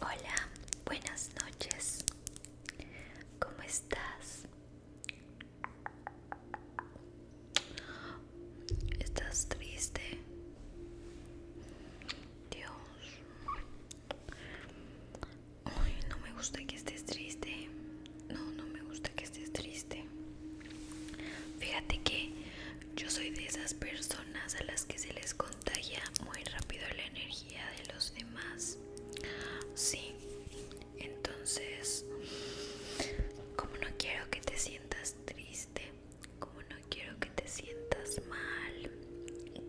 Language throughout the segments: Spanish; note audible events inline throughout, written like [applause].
Hola, buenas noches. ¿Cómo estás? ¿Estás triste? Dios. no me gusta que estés triste. No, no me gusta que estés triste. Fíjate que yo soy de esas personas a las que se les contagia muy rápido la energía de los demás. Sí, entonces, como no quiero que te sientas triste, como no quiero que te sientas mal,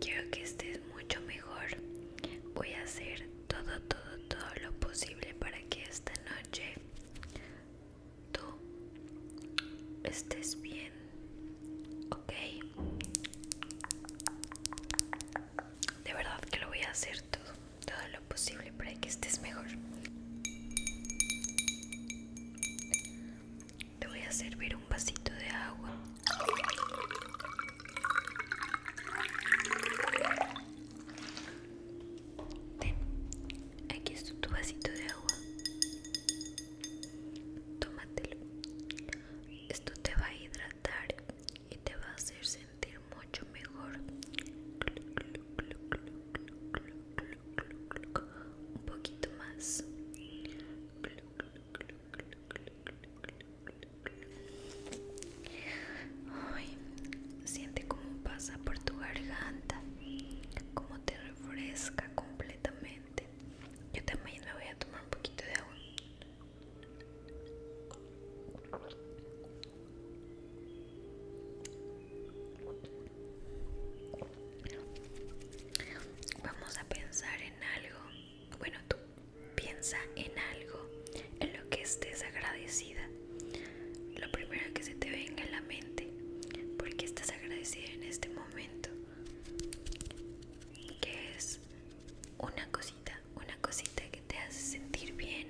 quiero que estés mucho mejor. Voy a hacer todo, todo, todo lo posible para que esta noche tú estés bien, ok. De verdad que lo voy a hacer todo, todo lo posible para que estés mejor. Te voy a servir un vasito de agua. Ten, aquí es tu vasito de agua. Tómatelo. Esto te va a hidratar y te va a hacer sentir mucho mejor. Un poquito más. siente cómo pasa por tu garganta, como te fresca completamente. Yo también me voy a tomar un poquito de agua. Vamos a pensar en algo. Bueno, tú piensa en algo en lo que estés agradecida lo primero que se te venga a la mente, porque estás agradecida en este momento, que es una cosita, una cosita que te hace sentir bien,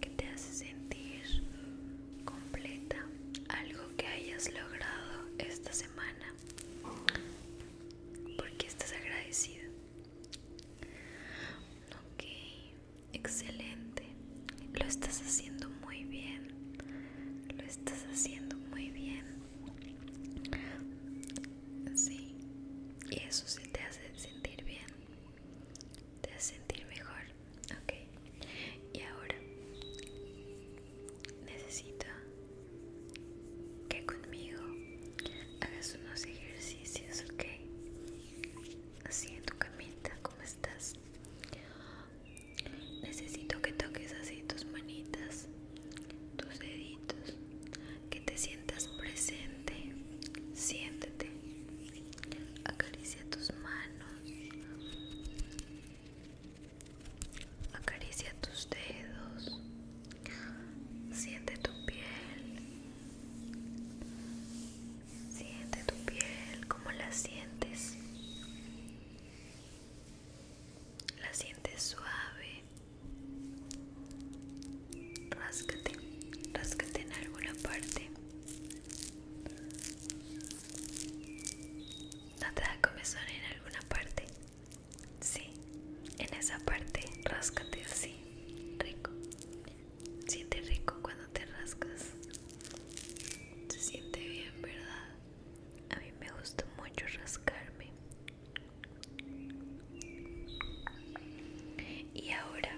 que te hace sentir completa, algo que hayas logrado esta semana, porque estás agradecida. Ok, Excelente. Lo estás haciendo muy bien. Lo estás haciendo muy bien. Y eso sí te hace sentir bien. Te hace sentir mejor. Ok. Y ahora necesito que conmigo hagas unos ejercicios, ok. Así en tu camita, ¿cómo estás? Necesito que toques así tus manitas, tus deditos, que te sientas presente. Siéntete. Acaricia tus manos. Acaricia tus dedos. Siente tu piel. Siente tu piel, como la sientes? La sientes suave. rascate rascate en alguna parte. ¿No te da comezón en alguna parte? Sí, en esa parte, rascate así, rico. Siente rico cuando te rascas. Se siente bien, ¿verdad? A mí me gusta mucho rascarme. Y ahora,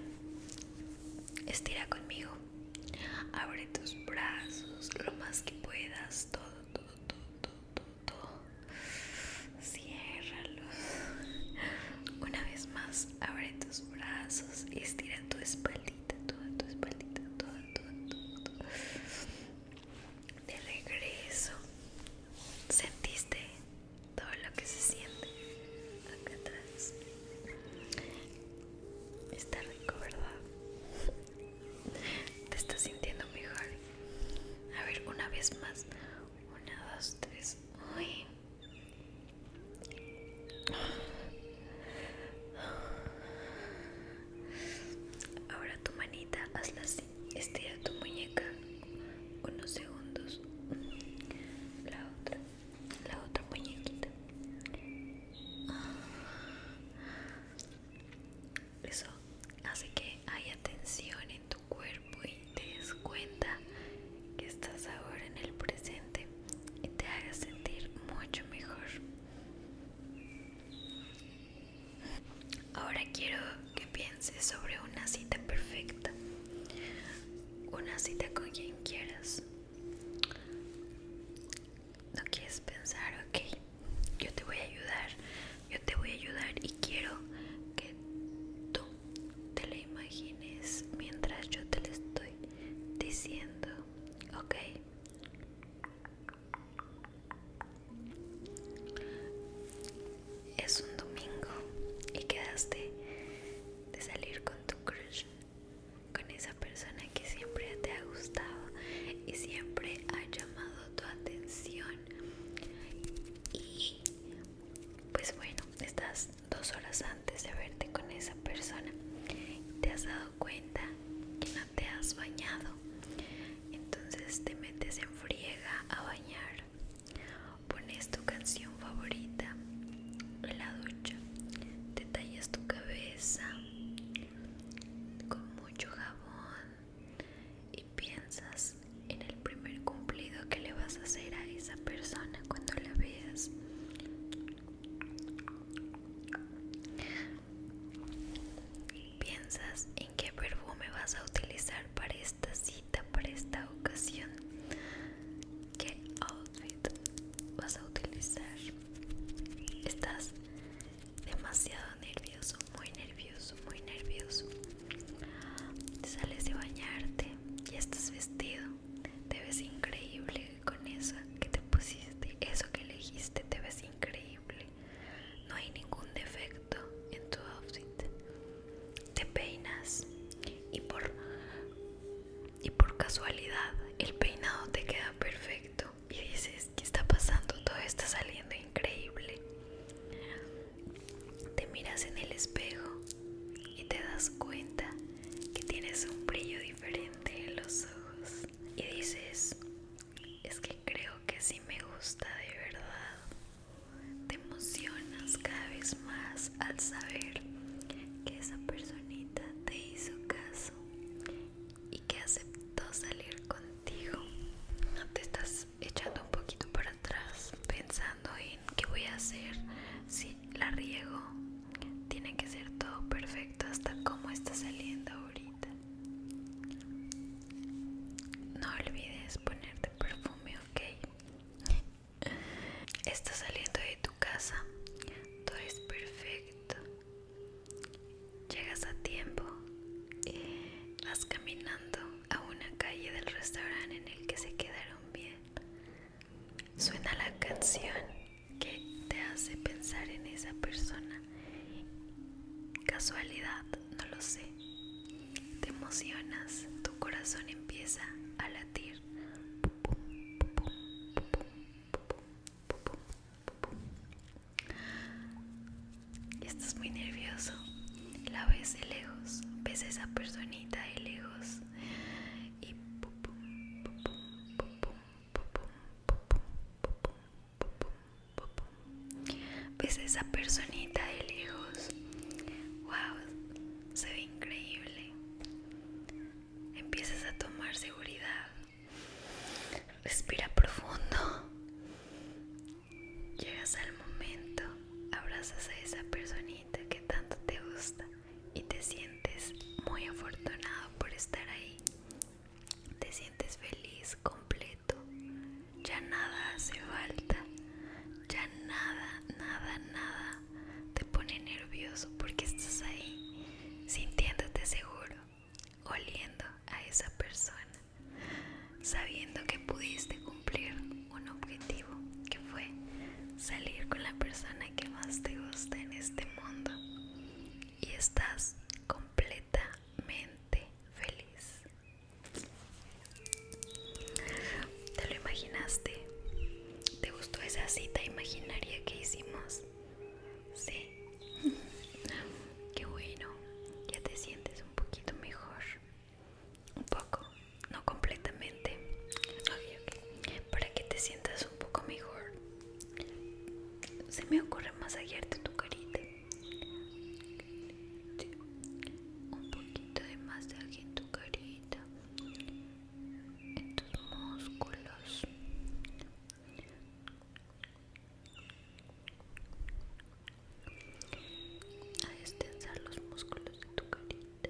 estira conmigo. Abre tus brazos lo más que puedas. Todo, todo, todo, todo, todo. Una vez más, abre tus brazos y estira tu espalda toda tu espaldita, De regreso, sentiste todo lo que se siente acá atrás. Está rico, ¿verdad? Te estás sintiendo mejor. A ver, una vez más. Una, dos, tres. Uy. Ahora tu manita, hazla así. Estira tu muñeca unos segundos. La otra, la otra muñequita. Eso hace que haya tensión en tu cuerpo y te des cuenta que estás ahora en el presente y te haga sentir mucho mejor. Ahora quiero que pienses sobre una cita perfecta, una cita con quien quieras. No quieres pensar, ok, yo te voy a ayudar, yo te voy a ayudar y quiero que tú te la imagines mientras yo te la estoy diciendo, ok, es un domingo y quedaste de salir con tu crush, con esa persona que siempre te ha gustado y siempre ha llamado tu atención. Y pues bueno, estás dos horas antes de verte con esa persona, te has dado cuenta que no te has bañado, entonces te metes en friega a bañar, pones tu canción favorita en la ducha, te tallas tu cabeza con mucho jabón y piensas en el primer cumplido que le vas a hacer a esa persona cuando la veas Piensas en qué perfume vas a utilizar para esta cita, para esta ocasión. ¿Qué outfit vas a utilizar? Estás demasiado nervioso, muy nervioso, muy nervioso. sales de bañarte, y estás vestido te ves increíble con eso que te pusiste, eso que elegiste, te ves increíble. No hay ningún defecto en tu outfit. Te peinas y por y por casualidad el peinado te queda perfecto y dices, ¿qué está pasando? Todo está saliendo increíble. Te miras en el espejo y te das cuenta que tienes un brillo diferente en los ojos y dices, es que creo que si me gusta de verdad. Te emocionas cada vez más al saber que esa personita te hizo caso y que aceptó salir contigo. No te estás echando un poquito para atrás pensando en qué voy a hacer si la riego. Tiene que ser todo perfecto hasta como está saliendo ahorita. No olvides ponerte perfume, ok. [laughs] Estás saliendo de tu casa. Todo es perfecto. Llegas a tiempo. Vas caminando a una calle del restaurante en el que se quedaron bien. Suena la canción que te hace pensar en esa persona. Casualidad, no lo sé. Te emocionas, tu corazón empieza a latir. Estás muy nervioso, la ves de lejos, ves a esa personita de lejos y pum pum ves esa personita de lejos wow se ve increíble empiezas a tomar seguridad respira profundo llegas al momento abrazas a esa personita que tanto te gusta y te sientes muy afortunado por estar ahí. Te sientes feliz, completo. Ya nada hace falta. Ya nada, nada, nada te pone nervioso porque estás ahí sintiéndote seguro, oliendo a esa persona, sabiendo que pudiste cumplir un objetivo que fue salir con la persona que más te gusta en este mundo. Y estás completamente feliz. ¿Te lo imaginaste? ¿Te gustó esa cita imaginaria que hicimos? Sí. [laughs] Qué bueno. Ya te sientes un poquito mejor. Un poco no completamente para que te sientas un poco mejor se me ocurre masajearte tu carita un poquito de masaje en tu carita en tus músculos a extensar los músculos de tu carita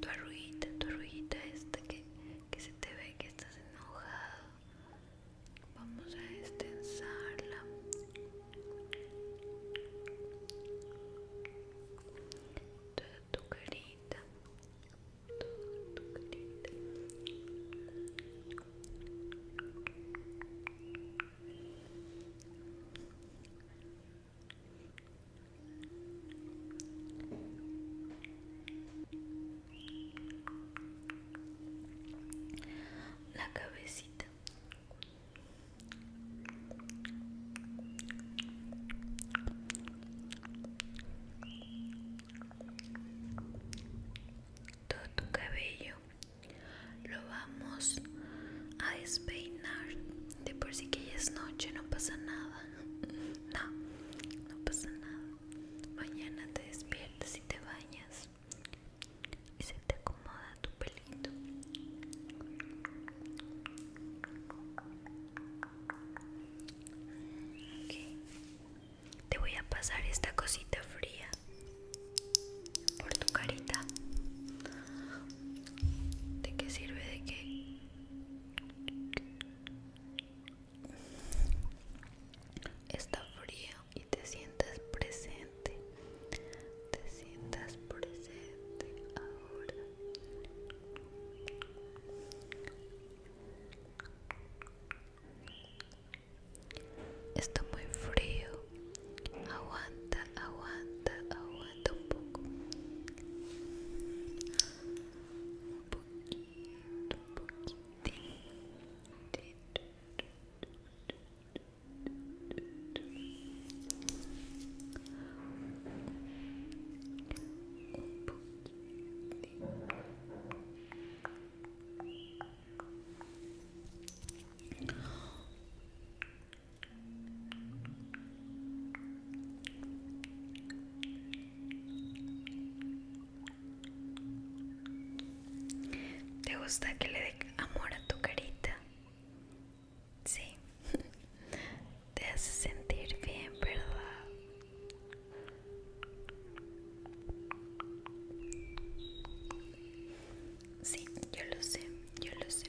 Tu arruguita, tu arruguita esta que, se te ve que estás enojado. Vamos a extensarla. tu carita. tu carita la cabecita todo tu cabello lo vamos a despeinar de por si que ya es noche, no pasa nada. [laughs] No, no pasa nada. Mañana te despiertas y te bañas. Y se te acomoda tu pelito. ok Te voy a pasar esta cosita fría por tu carita. ¿De qué sirve? De qué? Está frío y te sientas presente. Te sientas presente ahora. Está muy frío. Aguanta aguanta, aguanta un poco. Un poquito, un poquitito. Un poquito. ¿Te gusta que le dé amor a tu carita? Sí, [laughs] te hace sentir bien, ¿verdad? Sí, yo lo sé, yo lo sé.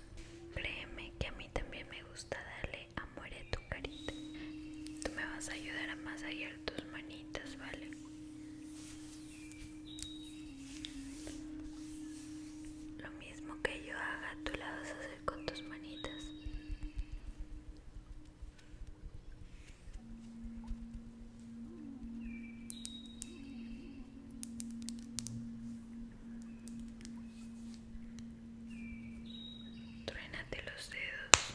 Créeme que a mí también me gusta darle amor a tu carita. Tú me vas a ayudar a masajear tus manitas, ¿vale? Lo mismo que yo haga, tú la vas a hacer con tus manitas. Truénate los dedos.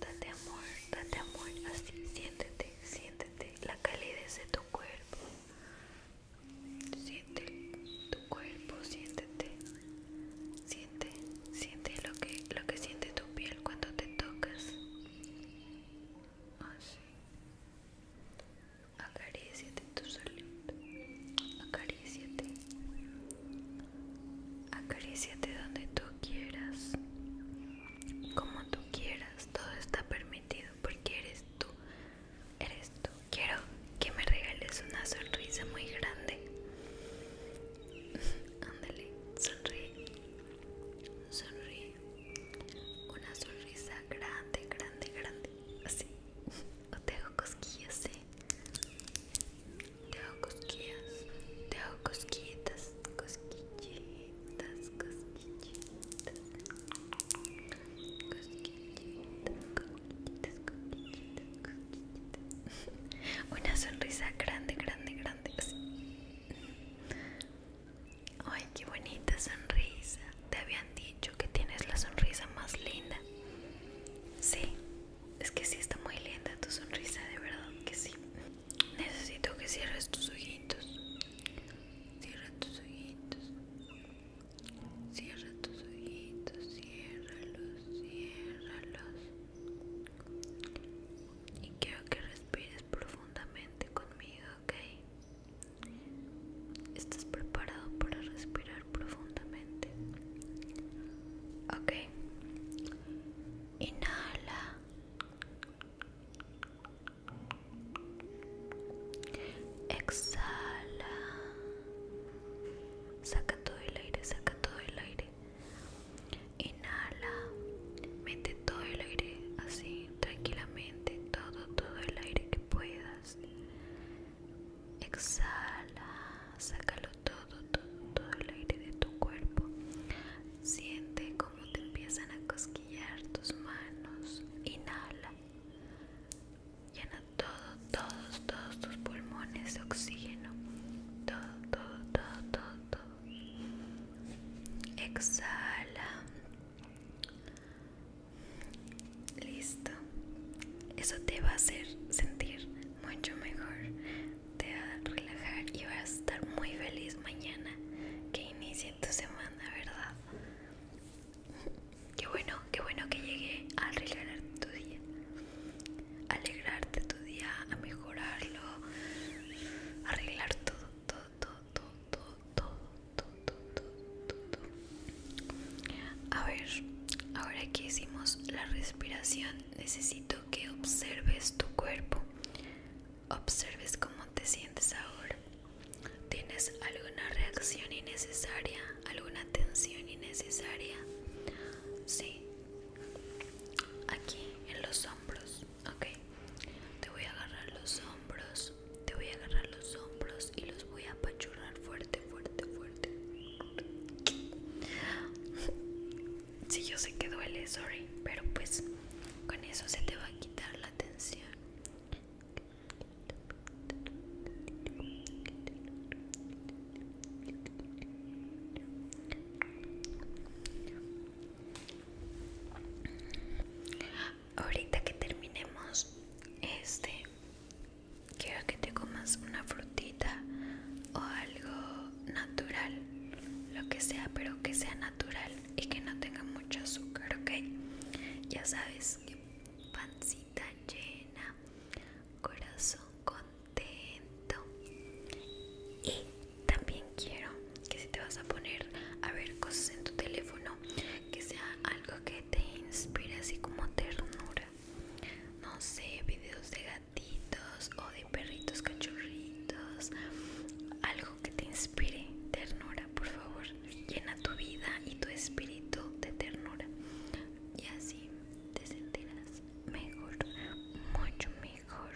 Date amor, date amor, así siéntete, siéntete la calidez de tu cuerpo. Siente tu cuerpo, siéntete. Siente, siente lo que lo que siente tu piel cuando te tocas. Así. Acaríciate tu salud Acaríciate. Acaríciate donde tú quieras, como tú quieras, todo está permitido porque eres tú, eres tú. Quiero que me regales una sonrisa muy grande. [laughs] Ándale, sonríe, sonríe. Una sonrisa grande, grande, grande, así. [laughs] O te hago cosquillas, ¿eh? Te hago cosquillas, te hago cosquillitas, cosquillitas, cosquillitas, cosquillitas, cosquillitas, cosquillitas, cosquillitas. Una sonrisa grande, grande, grande. Ay, qué bonita sonrisa. Te habían dicho que tienes la sonrisa más linda. Sí, es que sí está muy linda tu sonrisa, de verdad que sí. Necesito que cierres tus ojitos. Cierra tus ojitos. Cierra tus ojitos, ciérralos, ciérralos. Y quiero que respires profundamente conmigo, ¿ok? ¿Estás preparado para respirar profundamente? Okay. Ok. Inhala. Exhala. Saca todo el aire, saca todo el aire. Inhala. Mete todo el aire así, tranquilamente, todo, todo el aire que puedas. Exhala, sácalo todo, todo, todo el aire de tu cuerpo. Siente como te empiezan a cosquillar tus manos. Inhala. Llena todo, todos, todos tus pulmones de oxígeno. Todo, todo, todo, todo, todo. Exhala. Listo. Eso te va a hacer sentir mucho mejor, te va a relajar y vas a estar muy feliz mañana que inicie tu semana, ¿verdad? Qué bueno, qué bueno que llegué a arreglar tu día, alegrarte tu día, a mejorarlo, arreglar todo, todo, todo, todo, todo, todo, todo, todo, todo, todo. A ver, ahora que hicimos la respiración necesito que observes tu cuerpo, observes cómo te sientes ahora. ¿Tienes alguna reacción innecesaria? ¿Alguna tensión innecesaria? Sí. Aquí, en los hombros, ok. Te voy a agarrar los hombros, te voy a agarrar los hombros y los voy a apachurrar fuerte, fuerte, fuerte. Sí, yo sé que duele, sorry, pero pues con eso se te va a quitar la tensión. Ahorita que terminemos este quiero que te comas una frutita o algo natural, lo que sea, pero que sea natural y que no tenga mucho azúcar, ¿ok? Ya sabes, que pancita llena, corazón contento. Y también quiero que si te vas a poner a ver cosas en tu teléfono, que sea algo que te inspire así como ternura. No sé, videos de o de perritos cachorritos, algo que te inspire ternura, por favor, llena tu vida y tu espíritu de ternura y así te sentirás mejor, mucho mejor.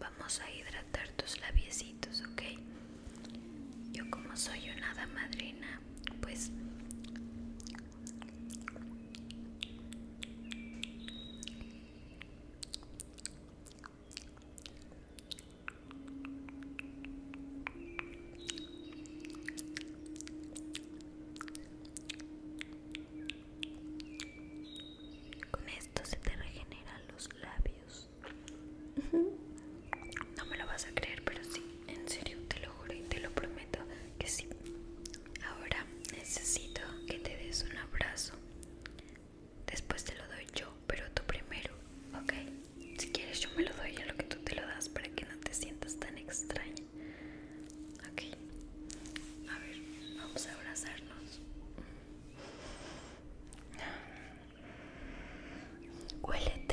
Vamos a hidratar tus labiecitos, ¿ok? Yo como soy una madrina, pues con esto se te regeneran los labios. No me lo vas a creer, pero sí, en serio, te lo juro y te lo prometo que sí. Ahora necesito que te des un abrazo. Después te lo doy yo, pero tú primero, ¿ok? Si quieres yo me lo doy a lo que tú te lo das para que no te sientas tan extraña. Ok. A ver, vamos a abrazarnos. Huélete.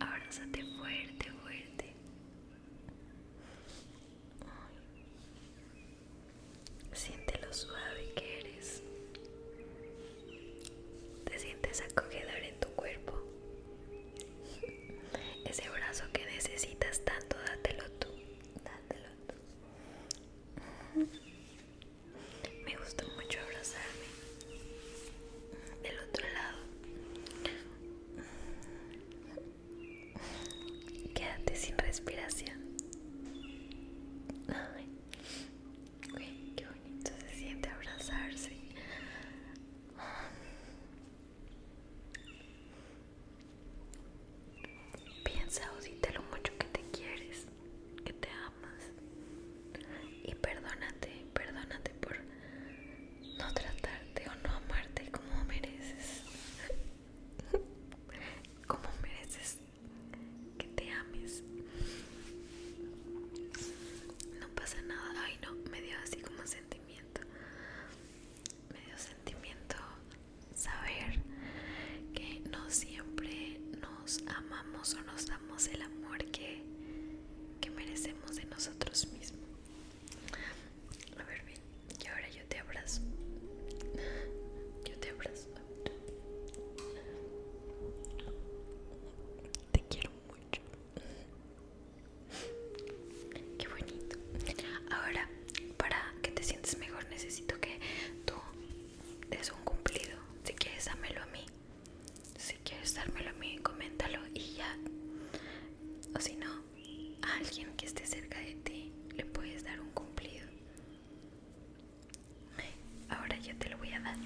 Abrázate fuerte, fuerte. Siente lo suave que eres. Te sientes acogedor en tu cuerpo. Ese brazo que necesitas tanto, dátelo tú. Dátelo tú me gusta mucho abrazarme del otro lado quédate sin respiración Ay, qué bonito se siente abrazarse Piensa o lo mucho que te quieres que te amas y perdónate, perdónate por no tratarte o no amarte como mereces. [laughs] como mereces que te ames. No pasa nada. Ay, no, me dio así como sentimiento. Me dio sentimiento saber que no siempre no amamos o nos damos el amor que, merecemos de nosotros mismos. A ver, ven, y ahora yo te abrazo. Yo te abrazo. Te quiero mucho. Qué bonito. Ahora, para que te sientes mejor, necesito que tú des un cumplido. Si quieres, dámelo a mí. Si quieres dármelo a mí, coméntalo y ya. O si no, a alguien que esté cerca de ti le puedes dar un cumplido. Ahora yo te lo voy a dar.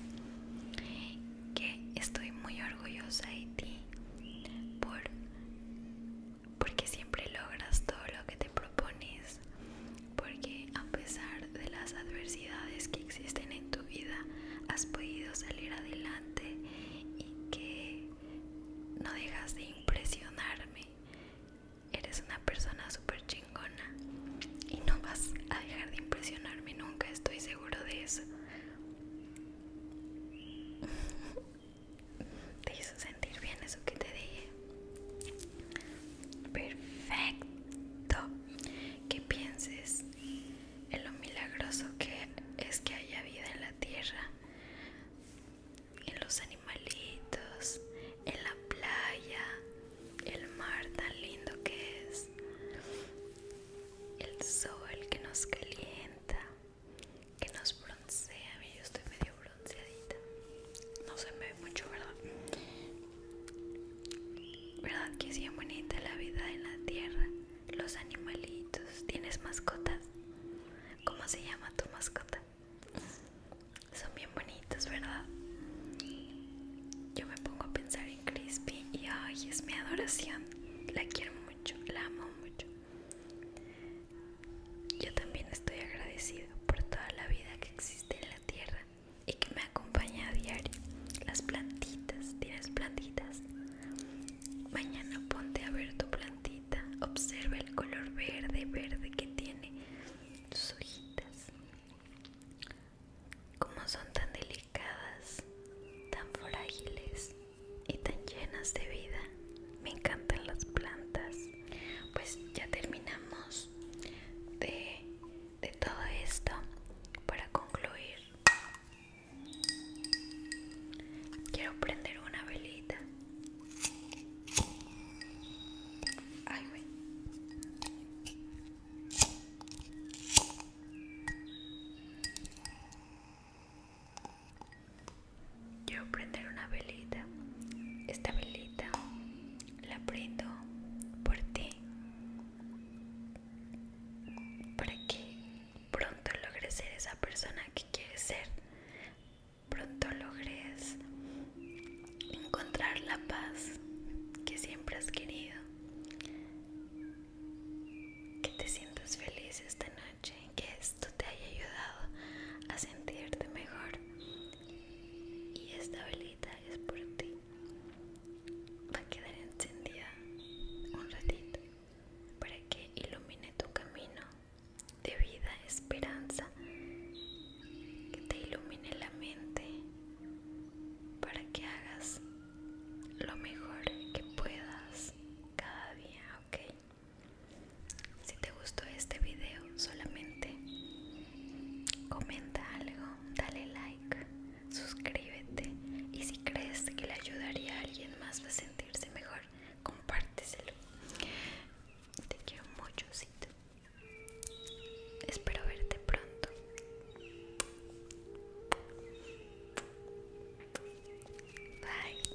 Que estoy muy orgullosa de ti por porque siempre logras todo lo que te propones porque a pesar de las adversidades que existen en tu vida, has podido salir adelante y que no dejas de impresionarme. Eres una persona súper chingona y no vas a dejar de impresionarme nunca, estoy seguro de eso. [laughs] ¿Te hizo sentir bien eso que te dije? Perfecto. Que pienses en lo milagroso que es que haya vida en la tierra, en los animalitos, en la playa, el mar tan lindo que es, el sol que nos calienta, que nos broncea. Yo estoy medio bronceadita no se me ve mucho, ¿verdad? ¿Verdad que es bien bonita la vida en la tierra? Los animalitos, ¿tienes mascotas? ¿Cómo se llama tu mascota? Son bien bonitos, ¿verdad? Yo me pongo a pensar en Crispy y ay, es mi adoración. La quiero mucho, la amo mucho. Yo también estoy agradecido por toda la vida que existe en la tierra y que me acompaña a diario. Las plantitas, tienes plantitas. Mañana ponte a ver tu plantita. Observa el color verde, verde que tiene tus hojitas. Como son tan delicadas, tan frágiles y tan llenas de vida. Me encantan las plantas. Pues ya terminamos de de todo esto para concluir quiero prender una velita Quiero prender una velita. Esta velita la prendo por ti para que pronto logres ser esa persona que quieres ser pronto logres encontrar la paz que siempre has querido que te sientas feliz esta noche que esto te haya ayudado a sentirte mejor y estable es por ti. Va a quedar encendida un ratito para que ilumine tu camino de vida, esperanza, que te ilumine la mente para que hagas lo mejor que puedas cada día, ¿ok? Si te gustó este video solamente comenta algo, dale like, suscríbete y si crees que le ayudaría a alguien más a sentirse mejor, compárteselo. Te quiero mucho, Espero verte pronto. Bye.